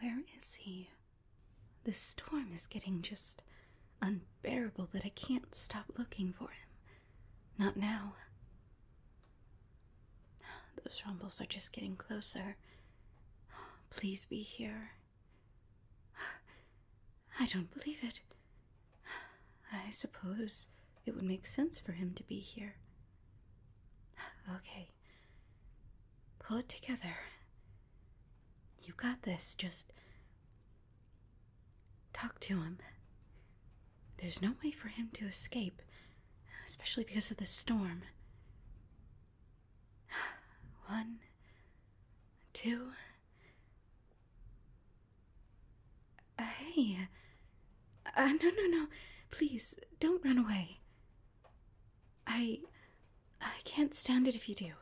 Where is he? The storm is getting just unbearable but I can't stop looking for him. Not now. Those rumbles are just getting closer. Please be here. I don't believe it. I suppose it would make sense for him to be here. Okay, Pull it together. You got this. Just talk to him. There's no way for him to escape, especially because of the storm. One, two, Hey. Uh, no, no, no. Please, don't run away. I. I can't stand it if you do.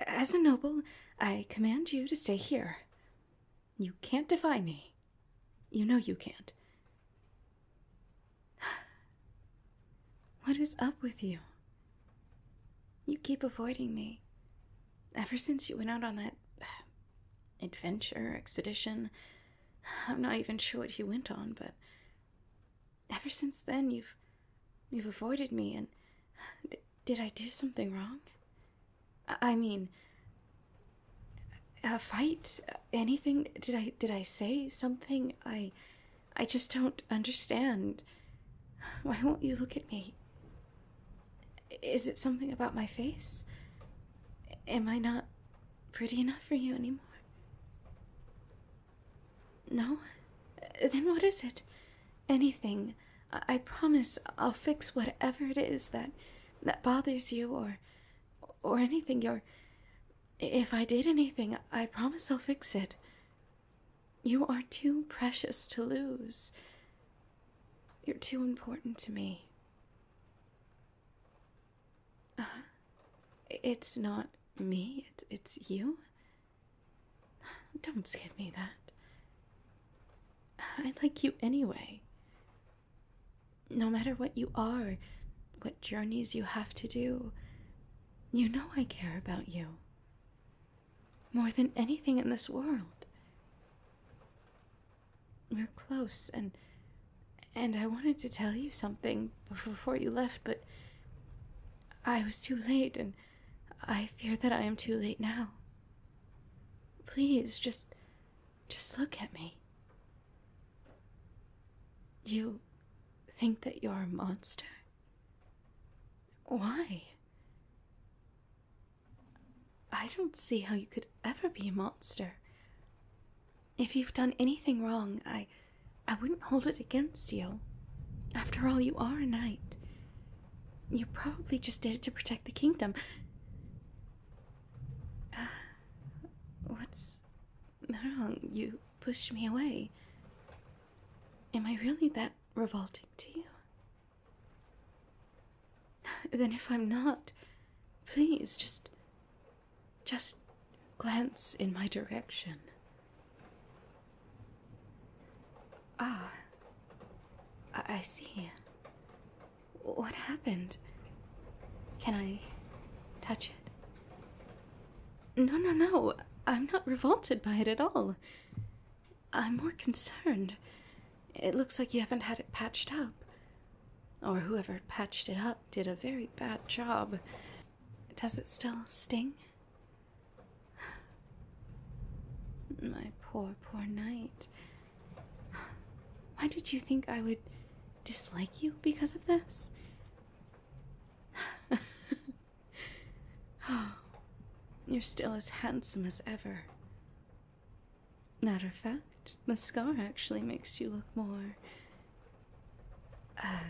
As a noble, I command you to stay here. You can't defy me. You know you can't. What is up with you? You keep avoiding me. Ever since you went out on that adventure, expedition. I'm not even sure what you went on, but ever since then you've you've avoided me and did I do something wrong? I mean a fight, anything did I did I say something? I I just don't understand. Why won't you look at me? Is it something about my face? Am I not pretty enough for you anymore? No? Then what is it? Anything. I, promise I'll fix whatever it is that that bothers you or or anything Your. if I did anything, I promise I'll fix it. You are too precious to lose. You're too important to me. Uh-huh. it's not me, it's you. Don't give me that. I like you anyway. No matter what you are, what journeys you have to do, you know I care about you more than anything in this world. We're close, and and I wanted to tell you something before you left, but I was too late, and I fear that I am too late now. Please, just just look at me. You think that you're a monster? Why? I don't see how you could ever be a monster. If you've done anything wrong, I I wouldn't hold it against you. After all, you are a knight. You probably just did it to protect the kingdom. Uh, what's wrong? You pushed me away. Am I really that revolting to you? Then, if I'm not, please just. just glance in my direction. Ah, I, I see. What happened? Can I touch it? No, no, no. I'm not revolted by it at all. I'm more concerned. It looks like you haven't had it patched up. Or whoever patched it up did a very bad job. Does it still sting? My poor, poor knight. Why did you think I would dislike you because of this? Oh, you're still as handsome as ever. Matter of fact, the scar actually makes you look more. Uh,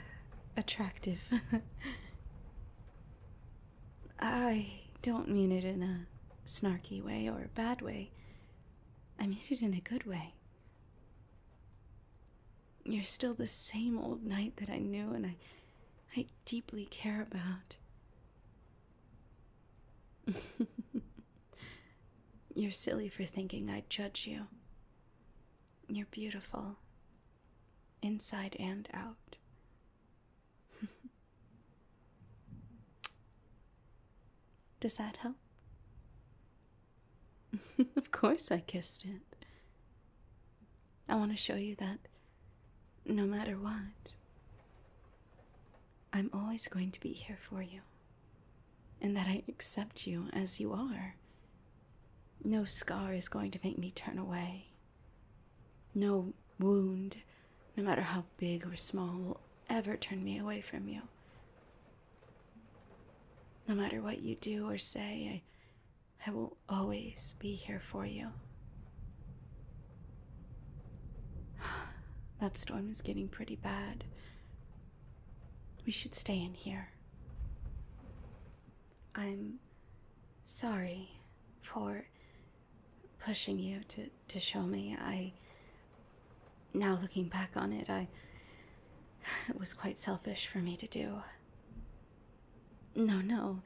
attractive. I don't mean it in a snarky way or a bad way. I mean it in a good way. You're still the same old knight that I knew and I I deeply care about. You're silly for thinking I'd judge you. You're beautiful, inside and out. Does that help? of course, I kissed it. I want to show you that no matter what, I'm always going to be here for you, and that I accept you as you are. No scar is going to make me turn away. No wound, no matter how big or small, will ever turn me away from you. No matter what you do or say, I, I will always be here for you. That storm is getting pretty bad. We should stay in here. I'm sorry for pushing you to, to show me. I now, looking back on it, I. It was quite selfish for me to do. No, no.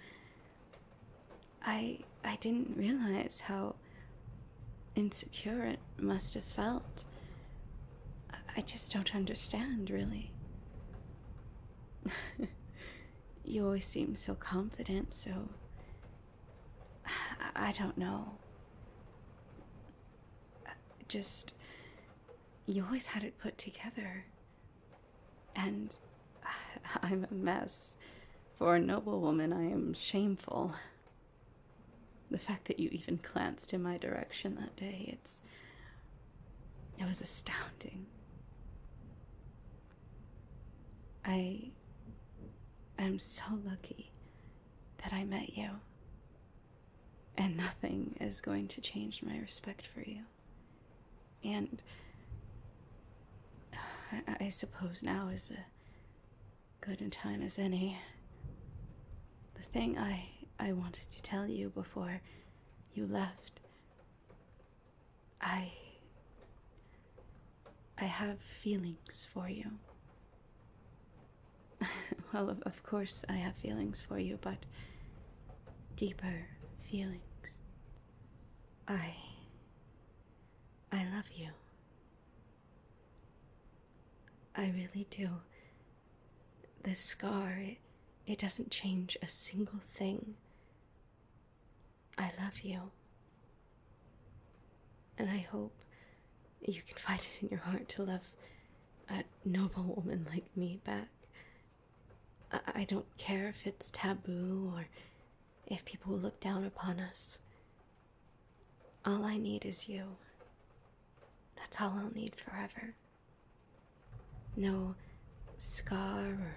I. I didn't realize how insecure it must have felt. I just don't understand, really. you always seem so confident, so. I, I don't know just you always had it put together and i'm a mess for a noble woman i am shameful the fact that you even glanced in my direction that day it's it was astounding i am so lucky that i met you and nothing is going to change my respect for you. And I, suppose now is a good a time as any. The thing I I wanted to tell you before you left. I I have feelings for you. well, of, course, I have feelings for you, but deeper feelings. I. I love you. I really do. This scar, it, it doesn't change a single thing. I love you. And I hope you can find it in your heart to love a noble woman like me back. I, don't care if it's taboo or if people look down upon us. All I need is you. That's all I'll need forever. No scar or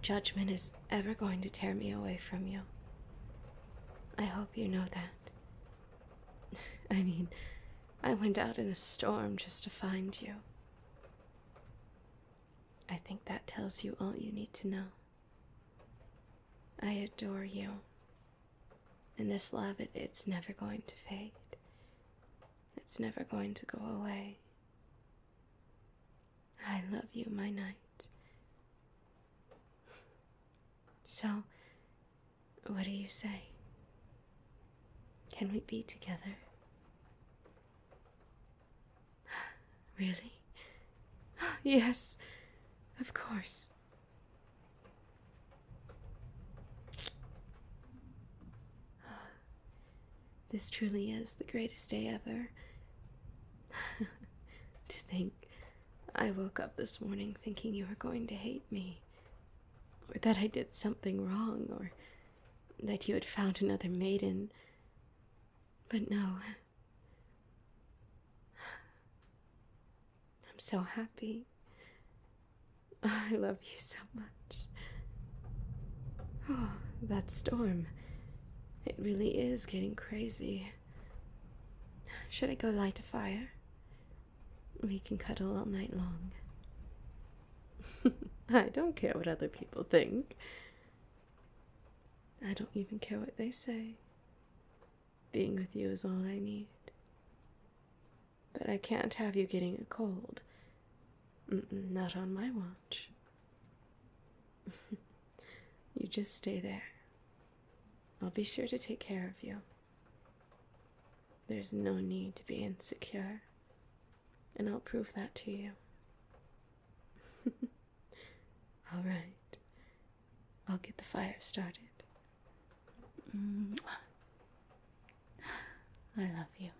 judgment is ever going to tear me away from you. I hope you know that. I mean, I went out in a storm just to find you. I think that tells you all you need to know. I adore you. And this love, it's never going to fade. It's never going to go away. I love you, my knight. So, what do you say? Can we be together? Really? Yes, of course. This truly is the greatest day ever, to think I woke up this morning thinking you were going to hate me, or that I did something wrong, or that you had found another maiden. But no. I'm so happy. I love you so much. Oh, that storm. It really is getting crazy. Should I go light a fire? We can cuddle all night long. I don't care what other people think. I don't even care what they say. Being with you is all I need. But I can't have you getting a cold. not on my watch. you just stay there. I'll be sure to take care of you. There's no need to be insecure, and I'll prove that to you. All right. I'll get the fire started. Mm. I love you.